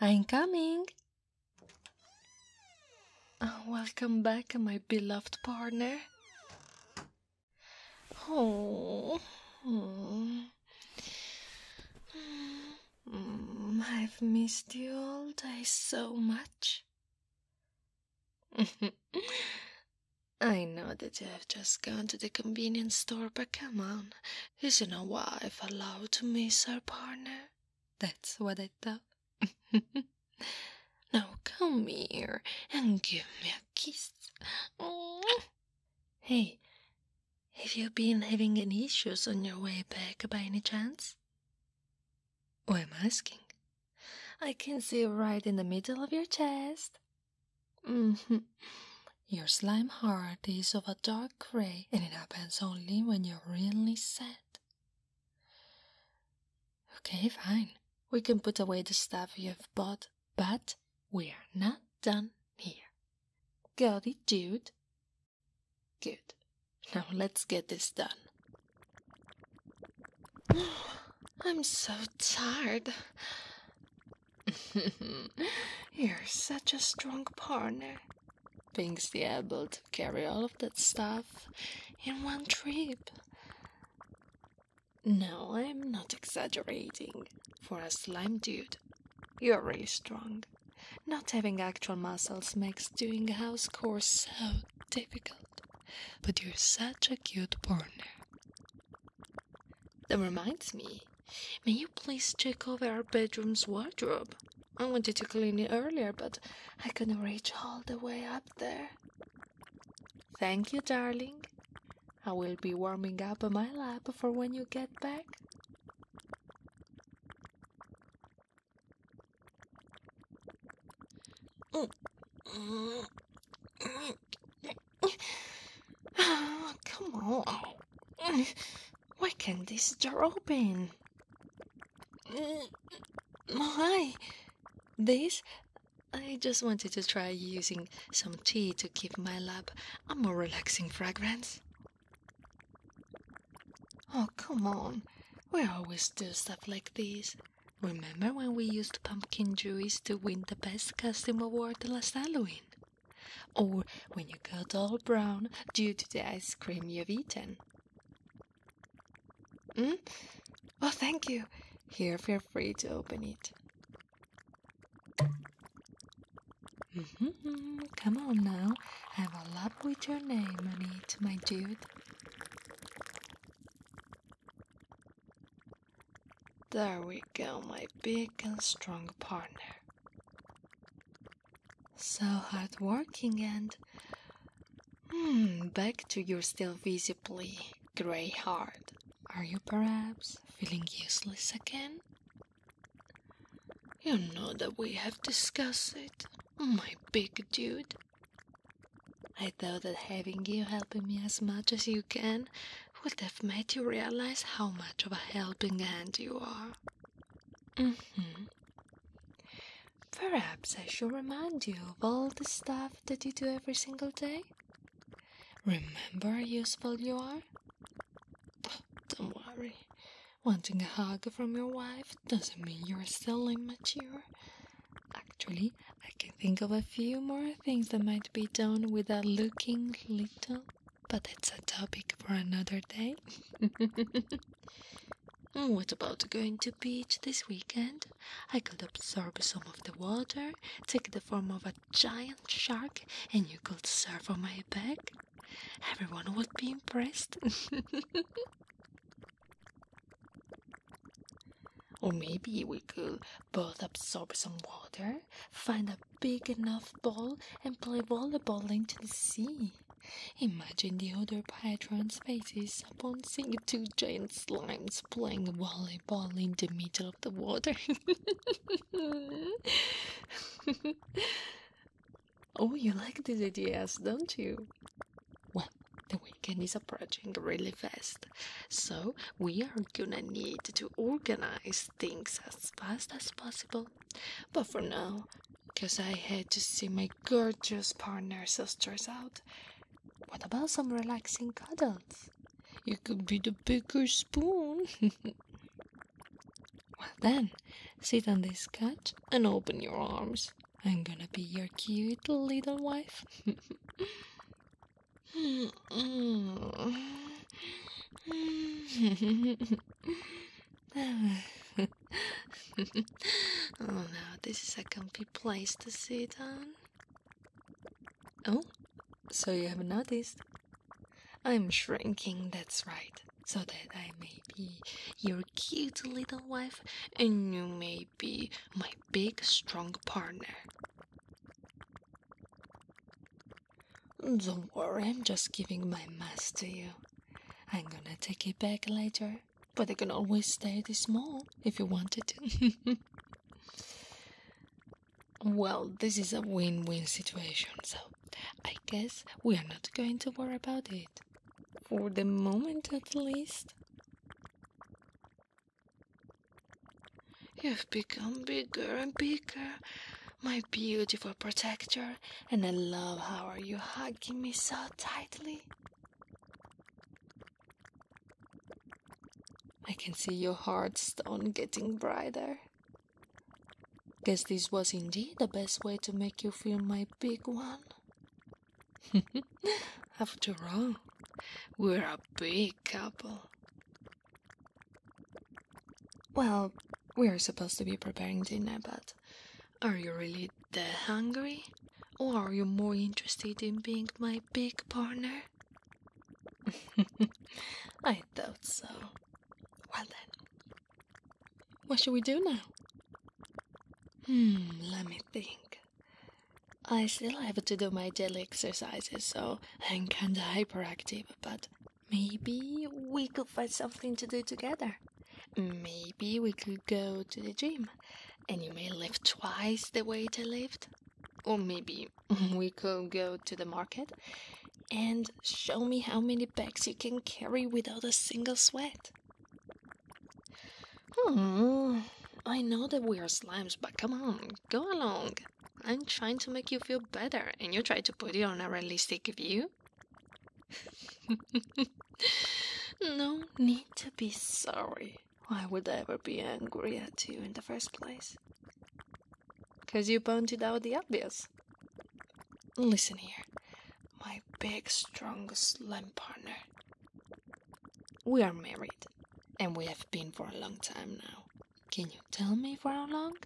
I'm coming. Oh, welcome back, my beloved partner. Oh, hmm. I've missed you all day so much. I know that you have just gone to the convenience store, but come on, isn't a wife allowed to miss her partner? That's what I thought. now come here and give me a kiss. Hey, have you been having any issues on your way back by any chance? Oh, I'm asking. I can see right in the middle of your chest. Mm-hmm. Your slime heart is of a dark gray and it happens only when you're really sad. Okay, fine. We can put away the stuff you've bought, but we're not done here. Got it, dude? Good. Now let's get this done. I'm so tired. You're such a strong partner. Being's the able to carry all of that stuff in one trip. No, I'm not exaggerating. For a slime dude, you're really strong. Not having actual muscles makes doing house chores so difficult. But you're such a cute partner. That reminds me, may you please check over our bedroom's wardrobe? I wanted to clean it earlier, but I couldn't reach all the way up there. Thank you, darling. I will be warming up on my lap for when you get back. Mm. Mm. Mm. Oh, come on. Why can't this door open? My, This? I just wanted to try using some tea to give my lab a more relaxing fragrance. Oh, come on. We always do stuff like this. Remember when we used pumpkin juice to win the best costume award last Halloween? or when you got all brown due to the ice cream you've eaten. Mm? Oh, thank you. Here, feel free to open it. Mm-hmm. Come on now, have a lap with your name on it, my dude. There we go, my big and strong partner. So hard working and. Hmm, back to your still visibly grey heart. Are you perhaps feeling useless again? You know that we have discussed it, my big dude. I thought that having you helping me as much as you can would have made you realize how much of a helping hand you are. hmm. Perhaps I should remind you of all the stuff that you do every single day. Remember how useful you are? don't worry. Wanting a hug from your wife doesn't mean you're still immature. Actually, I can think of a few more things that might be done without looking little but it's a topic for another day. Oh, what about going to beach this weekend? I could absorb some of the water, take the form of a giant shark, and you could surf on my back. Everyone would be impressed. or maybe we could both absorb some water find a big enough ball, and play volleyball into the sea. Imagine the other patrons' faces upon seeing two giant slimes playing volleyball in the middle of the water. oh, you like these ideas, don't you? Well, the weekend is approaching really fast, so we are gonna need to organize things as fast as possible. But for now, 'cause I had to see my gorgeous partner sisters out, what about some relaxing cuddles? You could be the bigger spoon. well, then, sit on this couch and open your arms. I'm gonna be your cute little wife. Mm. oh no, this is a comfy place to sit on. Oh, so you have noticed? I'm shrinking, that's right, so that I may be your cute little wife and you may be my big, strong partner. Don't worry, I'm just giving my mask to you. I'm gonna take it back later, but I can always stay this small if you wanted to. well, this is a win win situation, so I guess we are not going to worry about it. For the moment, at least. You've become bigger and bigger, my beautiful protector, and I love how are you hugging me so tightly. I can see your heartstone getting brighter. Guess this was indeed the best way to make you feel my big one. After all, we're a big couple. Well, we are supposed to be preparing dinner, but are you really that hungry? Or are you more interested in being my big partner? I thought so. Well then, what should we do now? Hmm, let me think. I still have to do my daily exercises, so I'm kinda hyperactive, but Maybe we could find something to do together. Maybe we could go to the gym and you may lift twice the weight I lift. Or maybe we could go to the market and show me how many bags you can carry without a single sweat. Hmm, I know that we are slimes, but come on, go along. I'm trying to make you feel better, and you try to put it on a realistic view. no need to be sorry. Why would I ever be angry at you in the first place? Because you pointed out the obvious. Listen here, my big, strong, slim partner. We are married, and we have been for a long time now. Can you tell me for how long?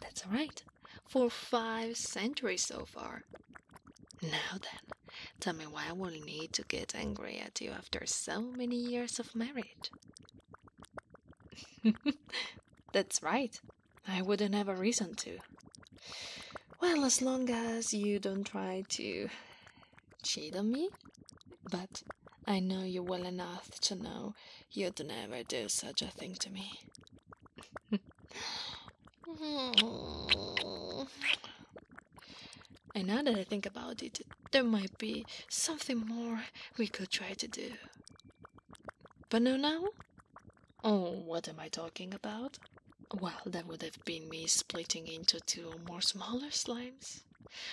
That's right, for five centuries so far. Now then, tell me why I will need to get angry at you after so many years of marriage. That's right, I wouldn't have a reason to. Well, as long as you don't try to cheat on me. But I know you well enough to know You'd never do such a thing to me. and now that I think about it, there might be something more we could try to do. But no, now? Oh, what am I talking about? Well, that would have been me splitting into two or more smaller slimes,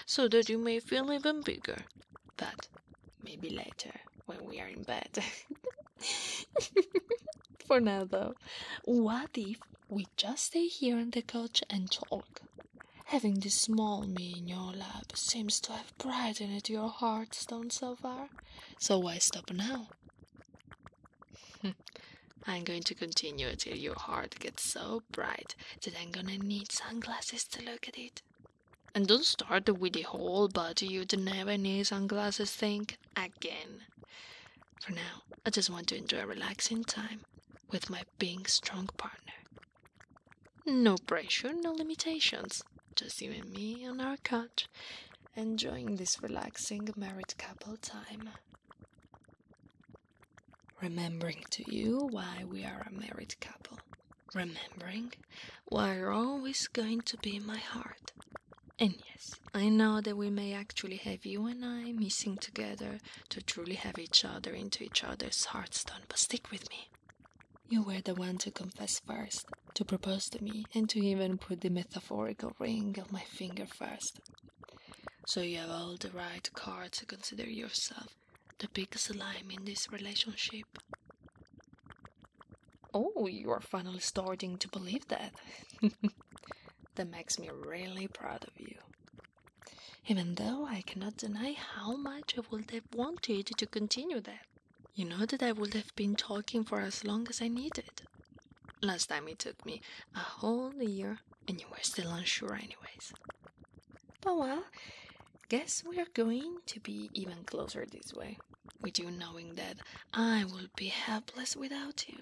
so that you may feel even bigger but maybe later when we are in bed. For now, though, what if we just stay here on the couch and talk? Having this small me in your lap seems to have brightened your hearthstone so far, so why stop now? I'm going to continue till your heart gets so bright that I'm gonna need sunglasses to look at it. And don't start with the whole body you don't have any sunglasses thing again. For now, I just want to enjoy a relaxing time with my big, strong partner. No pressure, no limitations, just you and me on our couch, enjoying this relaxing married couple time. Remembering to you why we are a married couple. Remembering are always going to be my heart. And yes, I know that we may actually have you and I missing together to truly have each other into each other's heartstone, but stick with me. You were the one to confess first, to propose to me, and to even put the metaphorical ring on my finger first. So you have all the right card to consider yourself the biggest lie in this relationship. Oh, you are finally starting to believe that. that makes me really proud of you. Even though I cannot deny how much I would have wanted to continue that. You know that I would have been talking for as long as I needed. Last time it took me a whole year, and you were still unsure, anyways. Oh well, guess we're going to be even closer this way, with you knowing that I will be helpless without you.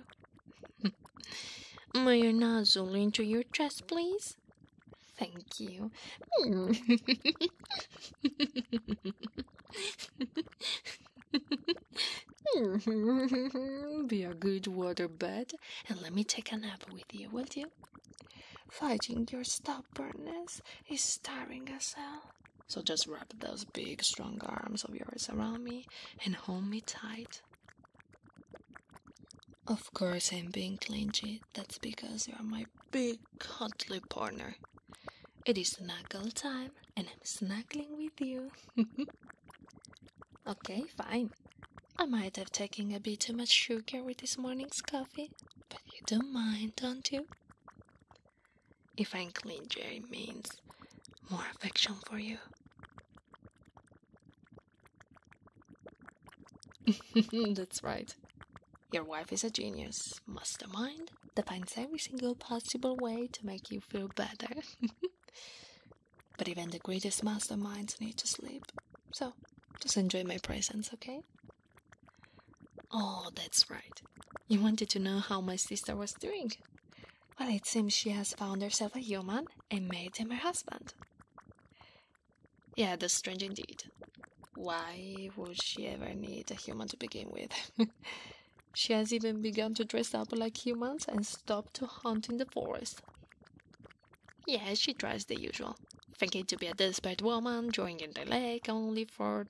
My you nuzzle into your dress, please? Thank you. be a good water bird and let me take a nap with you, will you? Fighting your stubbornness is tiring us hell. So just wrap those big, strong arms of yours around me and hold me tight. Of course, I'm being clingy. That's because you're my big, cuddly partner. It is snuggle time, and I'm snuggling with you. okay, fine. I might have taken a bit too much sugar with this morning's coffee, you don't mind, don't you? If I'm clean, Jerry means more affection for you. That's right. Your wife is a genius, mastermind that finds every single possible way to make you feel better. but even the greatest masterminds need to sleep. So, just enjoy my presence, okay? Oh, that's right. You wanted to know how my sister was doing. Well, it seems she has found herself a human and made him her husband. Yeah, that's strange indeed. Why would she ever need a human to begin with? she has even begun to dress up like humans and stop to hunt in the forest. Yes, she tries the usual thinking to be a desperate woman, drawing in the lake only for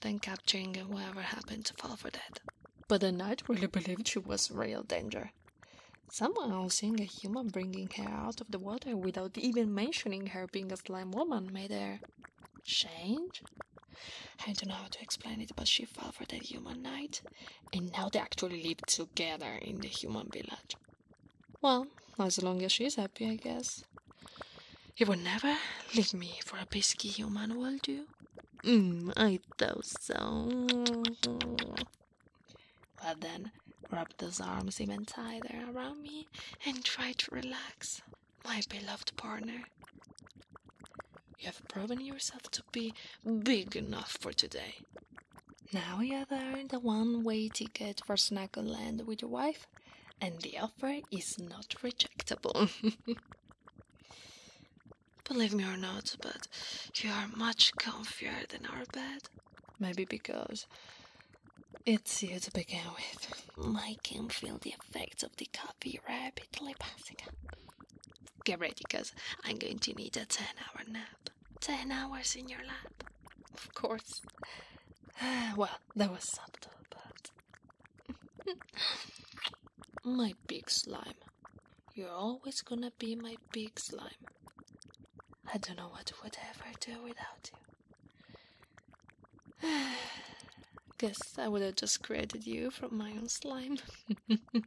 then capturing whoever happened to fall for that. But the knight really believed she was real danger. Someone else seeing a human bringing her out of the water without even mentioning her being a slime woman made her change? I don't know how to explain it, but she fell for that human knight, and now they actually live together in the human village. Well, as long as she's happy, I guess. You would never leave me for a pesky human, would you? Mm, I thought so. Well then, wrap those arms even tighter around me and try to relax, my beloved partner. You have proven yourself to be big enough for today. Now you are earned a one way ticket for Snackleland with your wife and the offer is not rejectable. Believe me or not, but you are much comfier than our bed. Maybe because it's you to begin with. Making feel the effects of the coffee rapidly pass. Get ready, because I'm going to need a 10 hour nap. 10 hours in your lap. Of course. Well, that was subtle, but. my big slime. You're always gonna be my big slime. I don't know what would ever do without you. Guess I would have just created you from my own slime.